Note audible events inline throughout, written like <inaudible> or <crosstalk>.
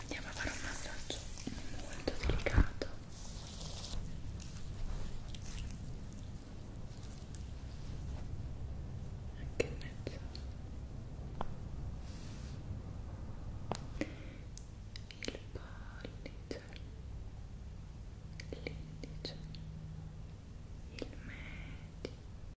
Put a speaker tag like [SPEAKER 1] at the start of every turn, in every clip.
[SPEAKER 1] andiamo a fare un massaggio molto delicato anche in mezzo il pollice l'indice il medio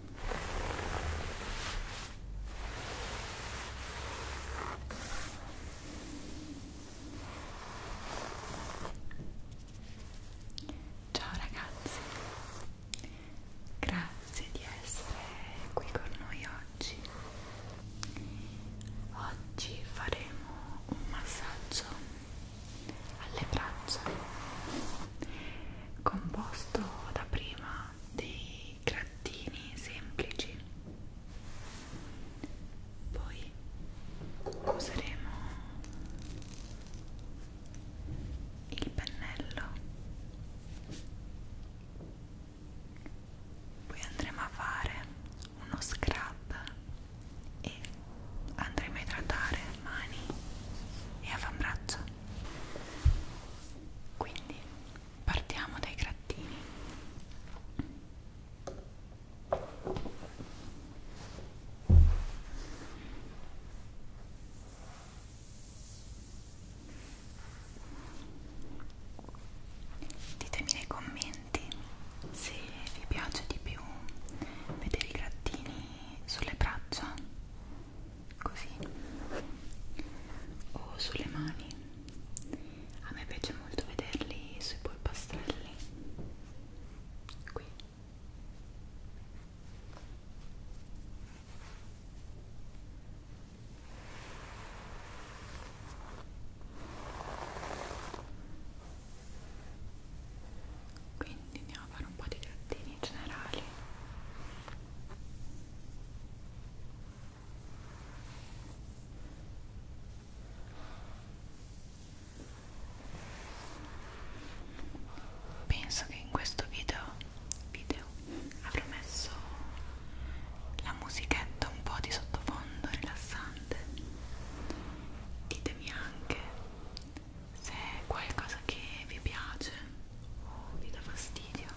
[SPEAKER 1] Ciao ragazzi, grazie di essere qui con noi oggi. Oggi faremo un massaggio alle braccia composto da prima dei grattini semplici poi useremo il pennello poi andremo a fare uno scrub e andremo a idratare mani e avambraccio quindi partiamo dai grattini ditemi nei commenti se vi piace di più vedere i grattini sulle braccia così o sulle mani a me piace molto vederli sui polpastrelli qui quindi andiamo a fare un po' di grattini generali Penso che in questo video, video avrò messo la musichetta un po' di sottofondo rilassante. Ditemi anche se è qualcosa che vi piace Oh, mi dà fastidio.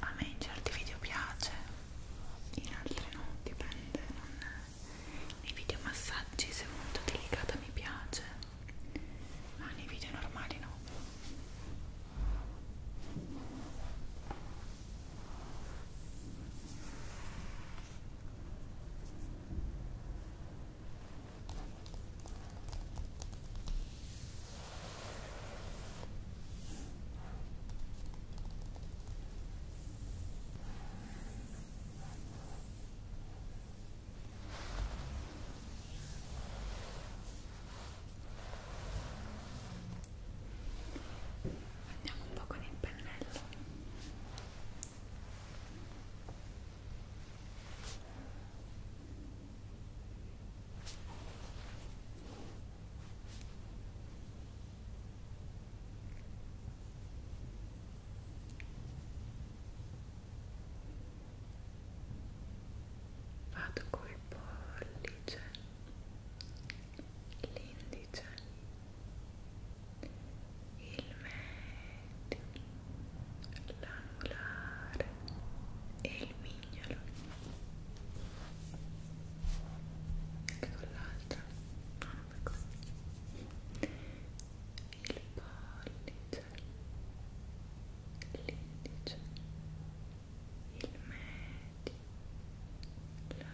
[SPEAKER 1] A me in certi video piace, in altri no, dipende. Non... Nei video massaggi se è molto delicata mi piace, ma nei video normali no. Andiamo un po' con il pennello. Vado col pollice, l'indice, il medio, l'anulare e il mignolo anche con l'altra no, non per così il pollice l'indice il medio l'anulare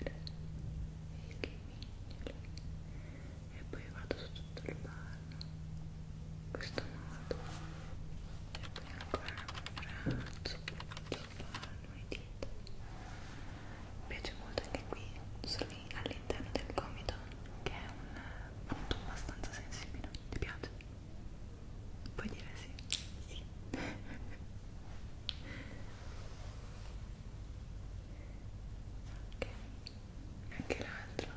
[SPEAKER 1] e il mignolo e poi vado su tutto il ballo in questo modo e poi ancora un braccio sul palmo e dita mi piace molto anche qui all'interno del gomito che è un punto abbastanza sensibile ti piace? puoi dire sì? sì <laughs> ok anche l'altro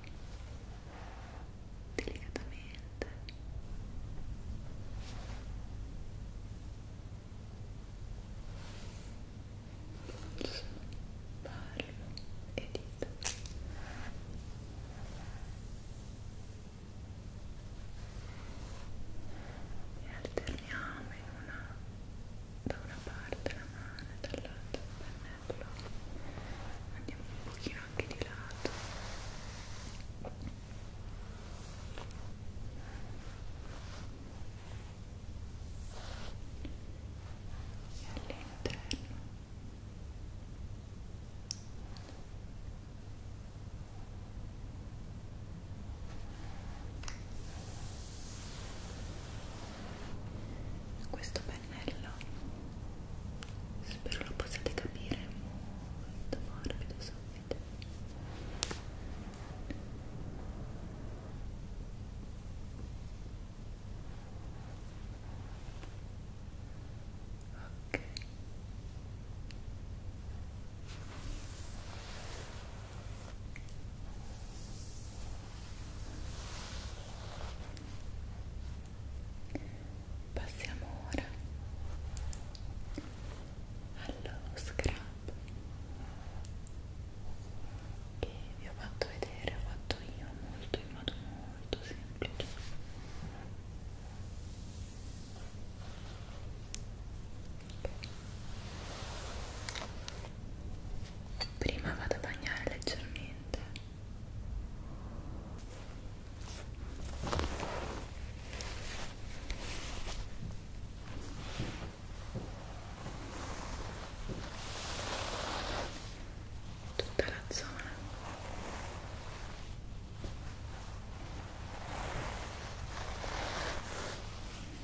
[SPEAKER 1] delicatamente polso, palmo e dita e alterniamo in una da una parte la mano e dall'altra il pennello andiamo un pochino anche di lato e all'interno e questo pennello spero lo possiate capire molto morbido subito ok Passiamo ora allo scrub che vi ho fatto vedere, ho fatto io molto in modo molto semplice. Okay prima vado a bagnare leggermente tutta la zona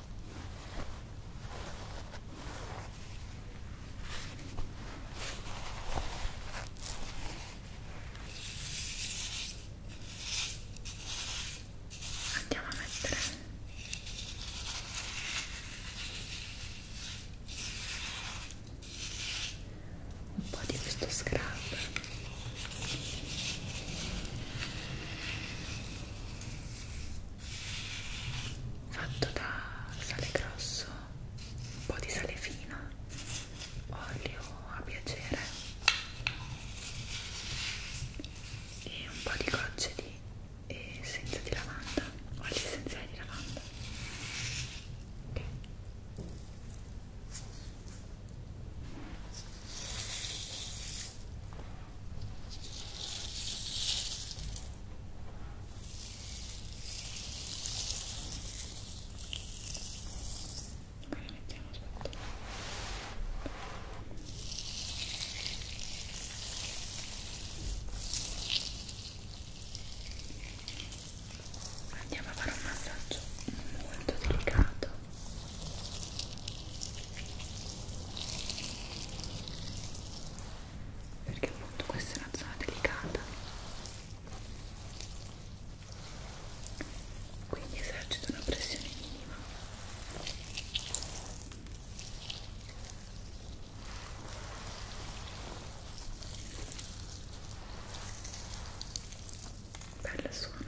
[SPEAKER 1] Andiamo a mettere un po' di questo scrub fatto da sale grosso, un po' di sale fino, olio a piacere e un po' di gocce di essenza di lavanda, olio essenziale di lavanda. Okay. Poi la mettiamo sotto. Andiamo a fare un massaggio molto delicato perché appunto questa è una zona delicata quindi esercito una pressione minima Bella suona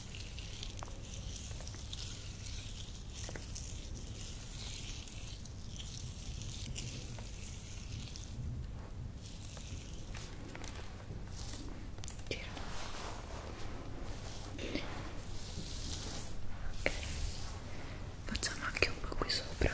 [SPEAKER 1] Gira. Ok, facciamo anche un po' qui sopra.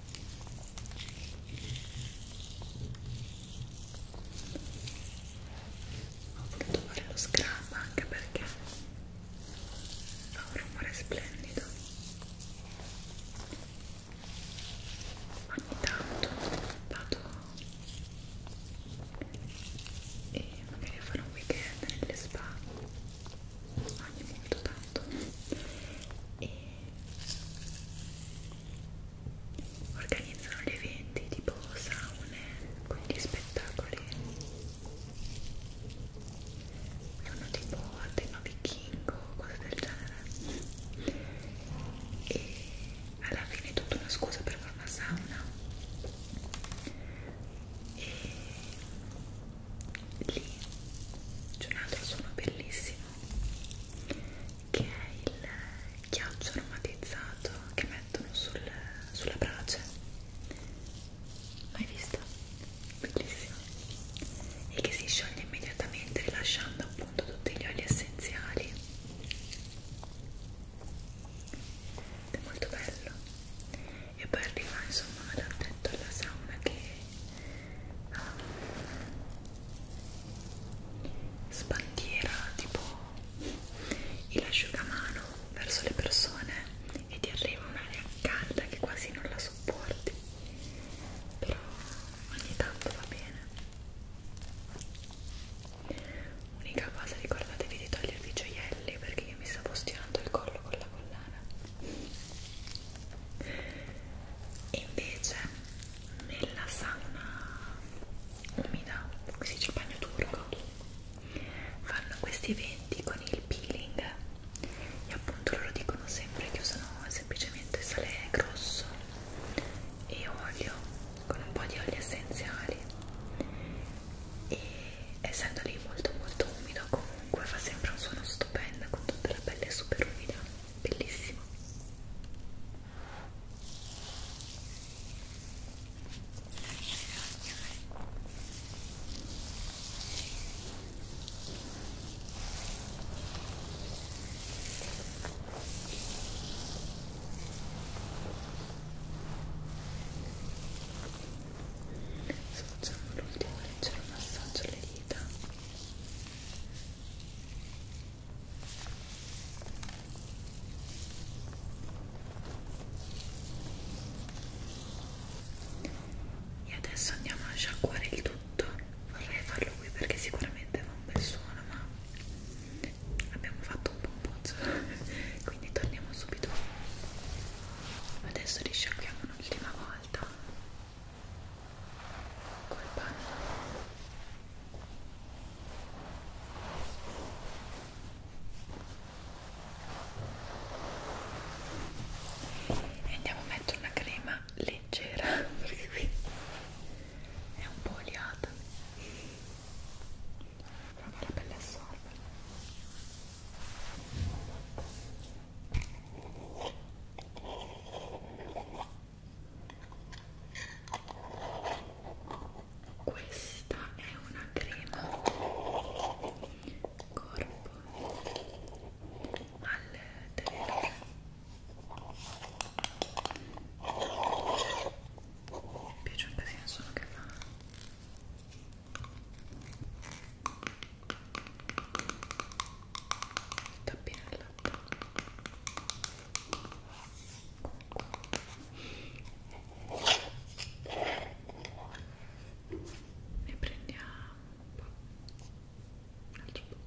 [SPEAKER 1] ho voluto fare lo scrub anche perché fa un rumore splendido ogni tanto vado e magari farò un weekend nelle spa ogni molto tanto e organizzano gli eventi tipo saune con gli spettacoli sono tipo a tema vichingo cose del genere e alla fine è tutta una scusa per fare una sauna e lì c'è un altro suono bellissimo che è il ghiaccio aromatizzato che mettono sul, sulla brace mai visto? bellissimo e che si scioglie immediatamente rilasciando appunto tutti gli oli essenziali è molto bello e poi arriva insomma l'attento alla sauna che ha ah, sbandiera tipo il asciugamano verso le persone e ti arriva un'aria calda che quasi non la sopporti però ogni tanto va bene unica cosa ricordatevi di togliervi i gioielli perché io mi stavo stirando il collo con la collana invece nella sauna umida, si dice bagno turco fanno questi eventi con il peeling e appunto loro dicono sempre che usano semplicemente sale grosso e olio con un po' di oli essenziali e essendo lì molto molto umido comunque fa sempre un suono stupendo con tutta la pelle super umida bellissimo Adesso facciamo l'ultimo leggero massaggio alle dita e adesso andiamo a sciacquare il tutto vorrei farlo qui perché sicuramente fa un bel suono ma abbiamo fatto un po' un pozzo <laughs> quindi torniamo subito adesso li sciacquiamo un'ultima volta col panno e andiamo a mettere una crema leggera <laughs> perché qui è un po' oliata però la pelle assorbe questa è una crema corpo al terreno mi piace un casino solo che fa tappino al latte ne prendiamo un po' un altro po' ok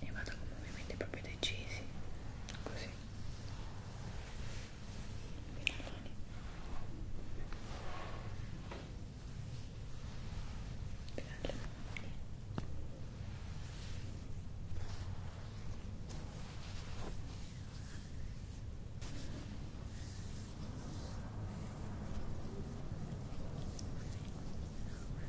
[SPEAKER 1] e vado con movimenti proprio decisi così Finaloni. Finaloni. Ora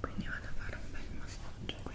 [SPEAKER 1] Quindi vado a fare un bel massaggio qui.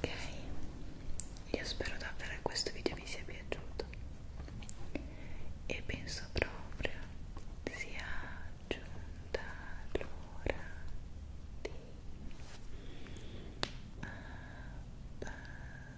[SPEAKER 1] Ok, io spero davvero che questo video vi sia piaciuto e penso proprio sia giunta l'ora di abbassare